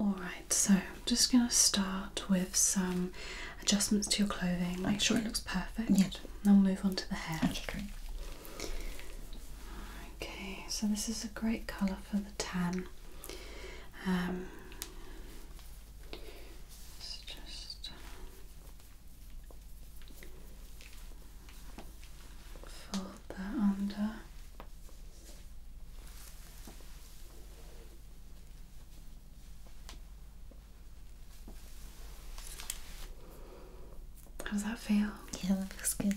Alright, so I'm just going to start with some adjustments to your clothing. Make sure it looks perfect. Yeah. Then we'll move on to the hair. Okay. Okay, so this is a great colour for the tan. Um, it's just fold that under. How does that feel? Yeah, that feels good.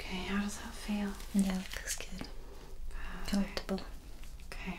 Okay, how does that feel? Yeah, it looks good. Perfect. Comfortable. Okay.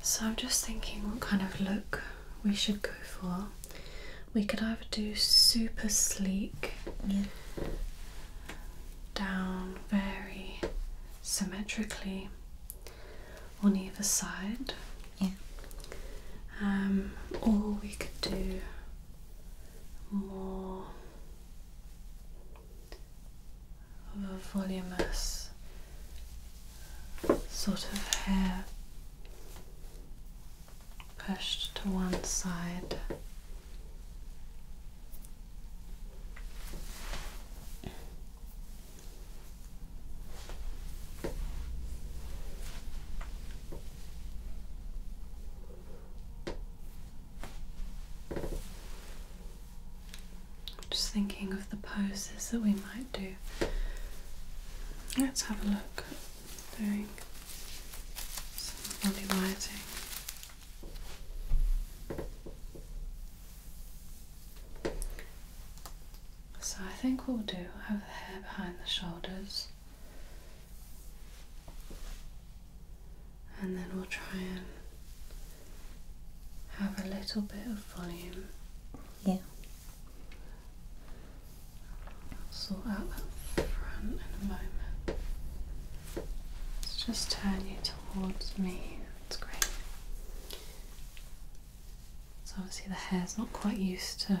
So I'm just thinking what kind of look we should go for. We could either do super sleek, down very symmetrically on either side, um, or we could do more volumous sort of hair pushed to one side. Just thinking of the poses that we Let's have a look doing some So I think we'll do, we'll have the hair behind the shoulders and then we'll try and have a little bit of volume. Yeah. I'll sort out that front in a moment. Let's just turn you towards me. That's great. So obviously the hair's not quite used to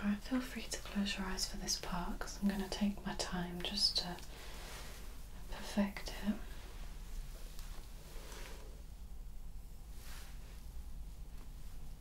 Alright, feel free to close your eyes for this part because I'm going to take my time just to perfect it.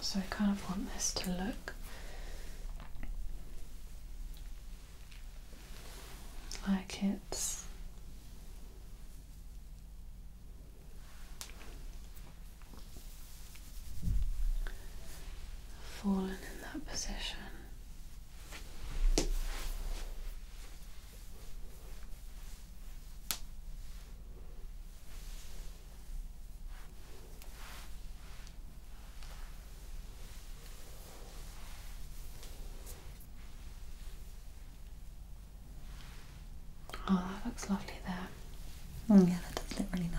So I kind of want this to look like it's fallen in that position. Oh, that looks lovely there. Mm, yeah, that does look really nice.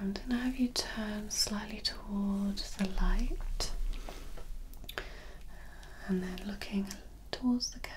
I'm going to have you turn slightly towards the light and then looking towards the camera.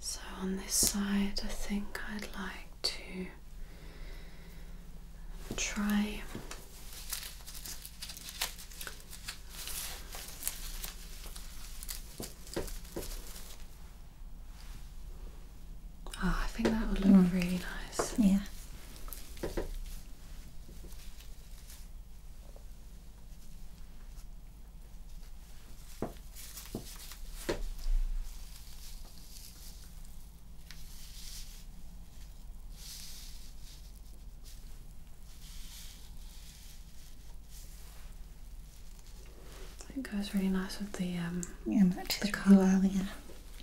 So, on this side, I think I'd like to try Oh, I think that would look mm. really nice. Yeah. It goes really nice with the um the colour. yeah.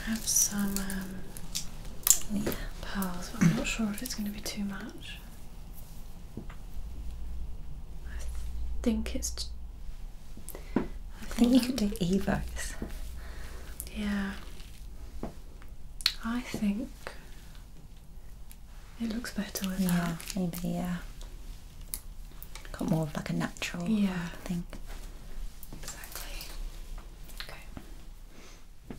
I have some um, pearls, but I'm not sure if it's going to be too much. I think it's. I think, you could do evos. Yeah. I think it looks better with yeah, maybe, yeah. Got more of like a natural yeah. thing. Exactly. Okay.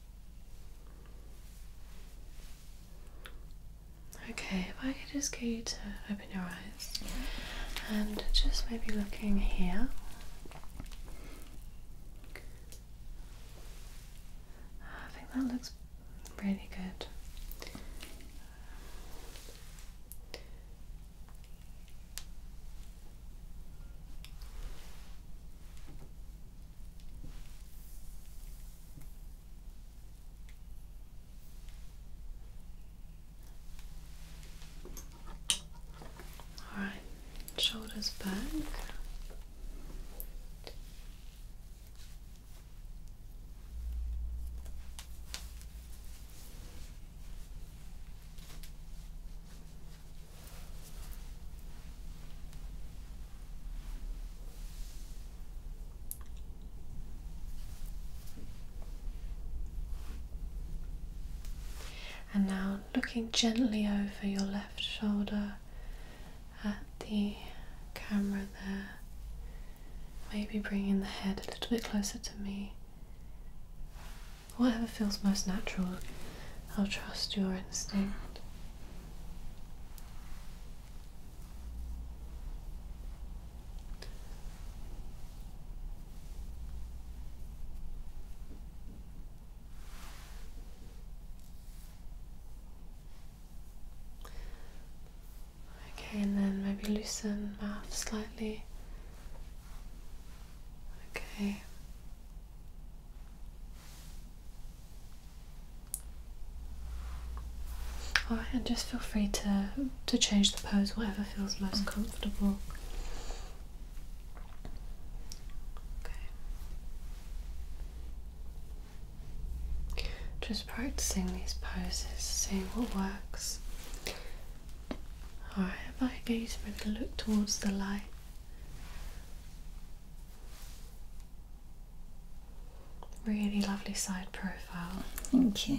Okay, if I could just get you to open your eyes and just maybe looking here. I think that looks really good. All right, shoulders back. And now looking gently over your left shoulder at the camera there, maybe bringing the head a little bit closer to me. Whatever feels most natural, I'll trust your instinct. Okay, and then maybe loosen mouth slightly. Okay, Alright, and just feel free to, to change the pose, whatever feels most mm. comfortable. Okay. Just practicing these poses, seeing what works. Alright, if I get you look towards the light. Really lovely side profile. Thank you.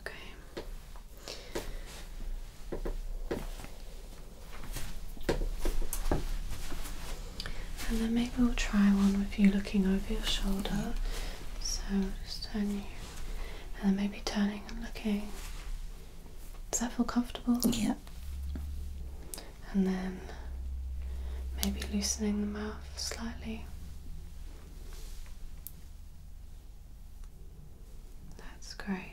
Okay. And then maybe we'll try one with you looking over your shoulder. So just turn you and then maybe turning and looking. Does that feel comfortable? Yeah. And then maybe loosening the mouth slightly. That's great.